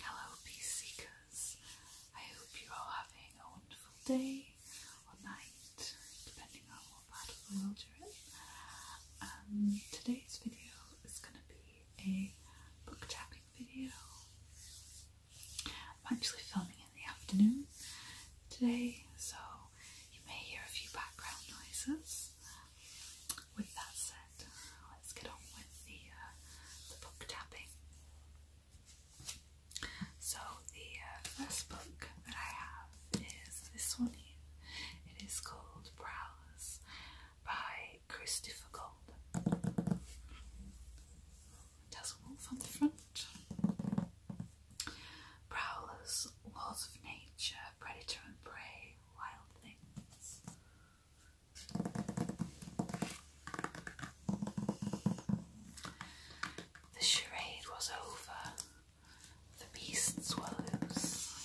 Hello, peace seekers. I hope you're all having a wonderful day or night, depending on that will um, today's video is going to be a book tapping video. I'm actually filming in the afternoon today, so you may hear a few background noises. With that said, let's get on with the, uh, So the uh, first book that I have is this one here. It is called Prowlers by Christopher Gold. It has a wolf the front. Prowlers, laws of nature, predator and prey, wild things. The charade was over the Beast's swallows.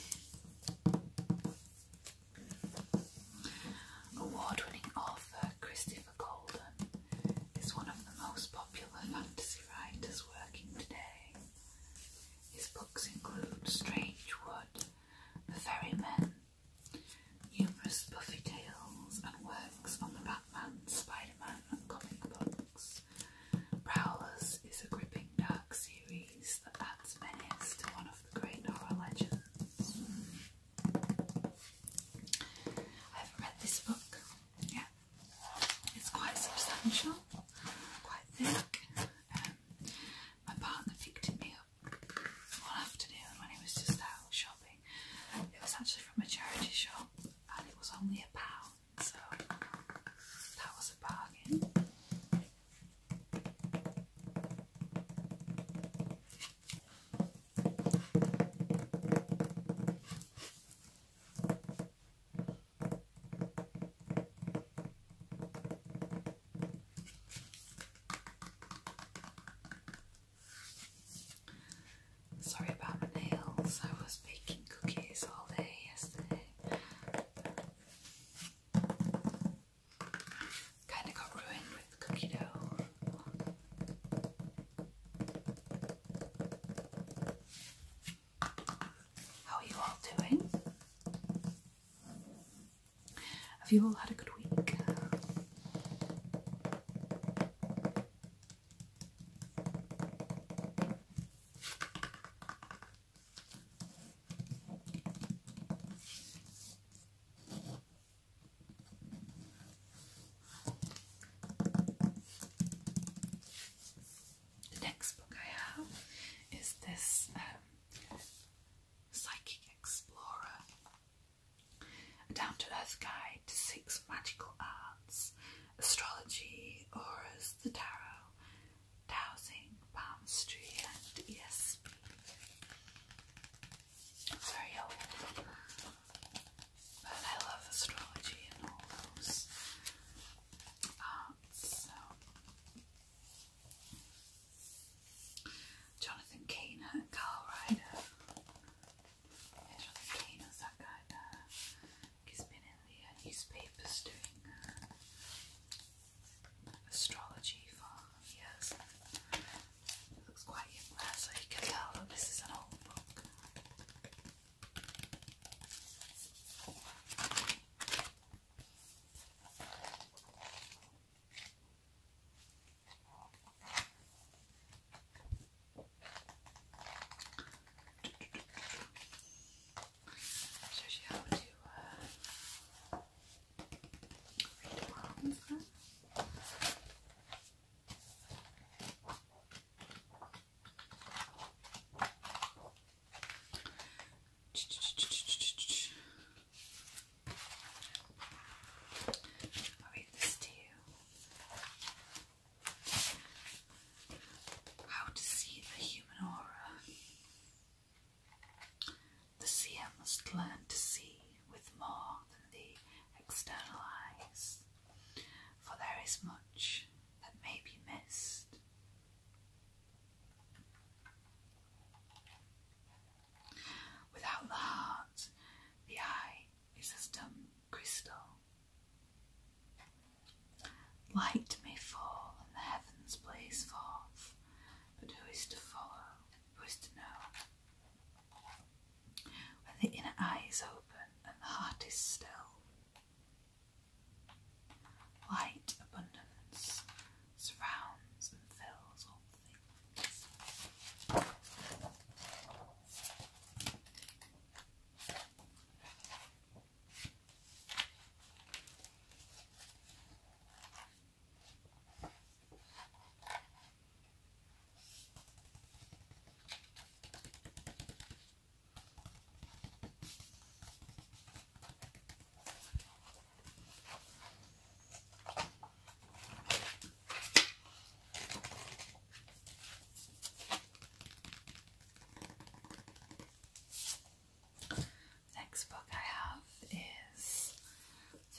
Award-winning author Christopher Golden is one of the most popular fantasy writers working today. His books include Strange Wood, The Ferryman*, numerous Buffy tales and works on the Batman, Spider-Man and comic book. Prowlers is a gripping dark series that adds menace to one of the great horror legends. I haven't read this book yet. It's quite substantial, quite thick. Um, my partner picked it me up one afternoon when he was just out shopping. It was actually from a charity shop and it was only a pound, so that was a bargain. Sorry about my nails, I was baking cookies all day yesterday. Kind of got ruined with cookie dough. How are you all doing? Have you all had a good week? The next book I have is this um, Psychic Explorer a down to earth guide to six magical arts astrology, auras, the tarot, dowsing, palmistry, and ESP. very old, but I love astrology and all those arts. So. Jonathan Kainer and Carl Ryder Era pequeno, sacada, que spin in the newspapers doing astrology for years. It looks quite young so you can tell that this is an old book. Shows you how to uh, read palms then i read this to you. How to see the human aura. The seer must learn to see with more than the external eyes, for there is much that may be missed. Without the heart, the eye is as dumb crystal. Light may fall and the heavens blaze forth, but who is to follow? Who is to know? When the inner eye is open and the heart is still, light, abundance, surrounds and fills all things. Next book I have is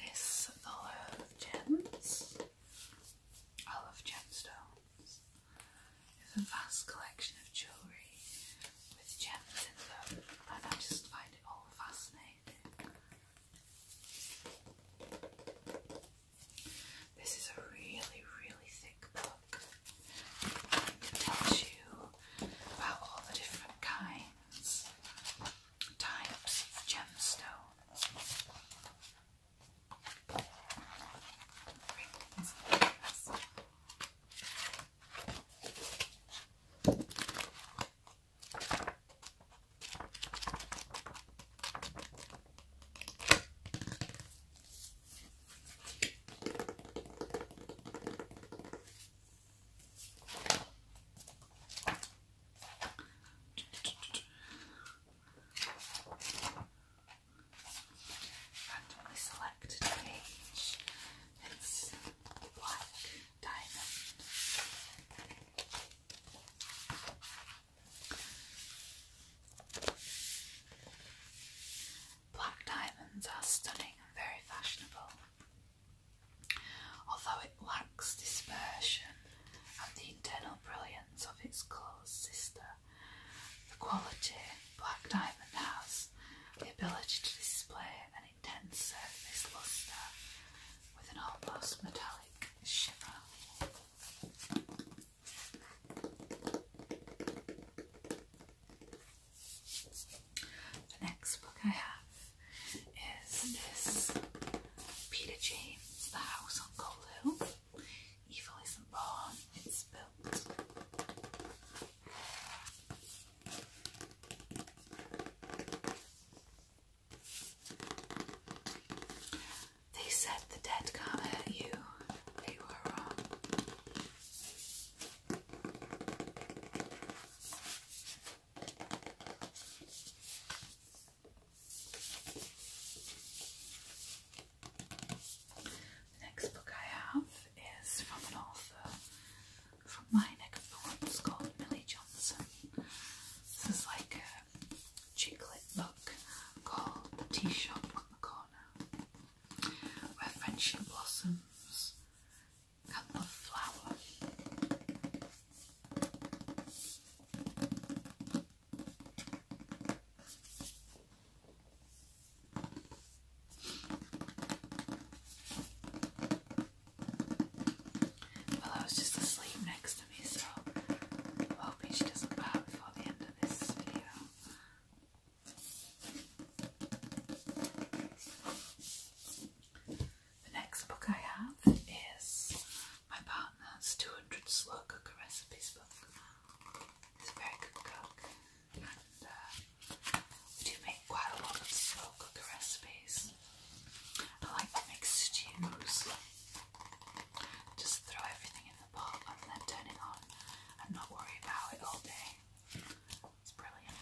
this The Love Gems. I love gemstones. It's a vast collection of jewellery with gems in them and I just find it all fascinating. This is a really, really thick book. It tells you about all the different kinds, types of gemstones. Randomly selected page. It's black diamonds are stunning and very fashionable. Although it lacks dispersion and the internal brilliance of its close sister, the quality black diamond has the ability to display an an intense surface luster with an almost metallic shimmer. The next book I have is this Peter James, The House on Cold Hill. Evil isn't born, it's built. They said the dead can't hurt you. They were wrong. The next book I have is from an author from my neck of the woods called Millie Johnson. This is like a chick lit book called The Tea Shop on the Corner, where friendship blossoms and of flower. Willow's just asleep next to me, so hoping she doesn't pop before the end of this video. The next book I have is my partner's 200 slow cooker recipes book. He's a very good cook and uh, we do make quite a lot of slow cooker recipes. I like to make stews. Just throw everything in the pot and then turn it on and not worry about it all day. It's brilliant.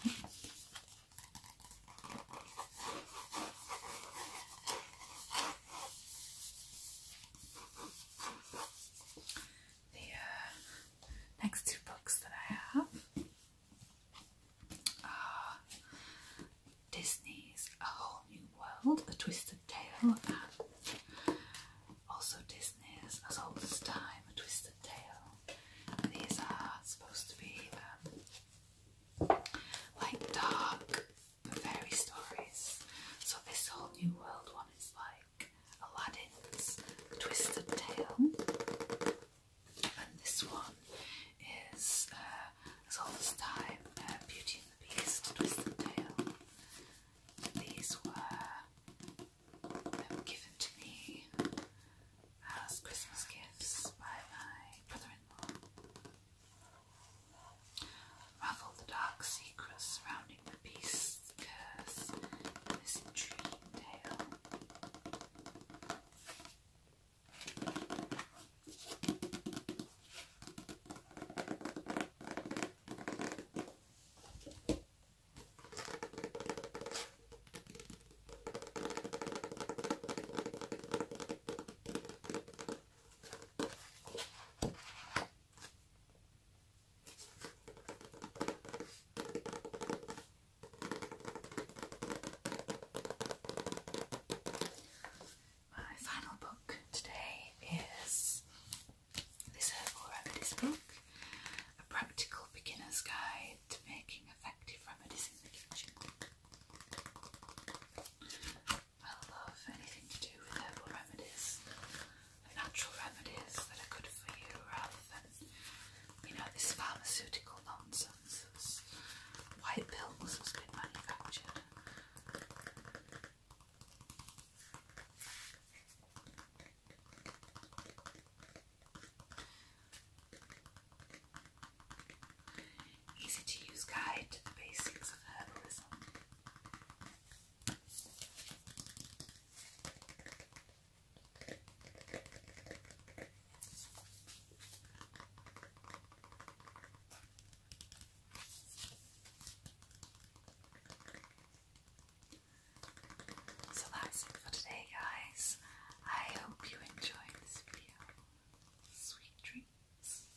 The uh, next two books that I have are Disney's A Whole New World, A Twisted Tale, also Disney's As Old as Time, A Twisted Tale. These are supposed to be um, like dark fairy stories. So this whole new world one is like Aladdin's Twisted Tail, and this one is uh, old time uh, Beauty and the Beast Twisted Tail. These were um, given to me as Christmas gifts by my brother-in-law. Ravel the dark secrets surrounding comic piece curse this intriguing tale. My final book today is this Herbal Remedies book, A Practical Beginner's Guide to Making Effective Remedies in the Kitchen. I love anything to do with herbal remedies natural remedies that are good for you rather than, you know, this pharmaceutical nonsense that's white pills has been manufactured. Easy to use guide to the basics of herbalism. So that's it for today, guys. I hope you enjoyed this video. Sweet dreams.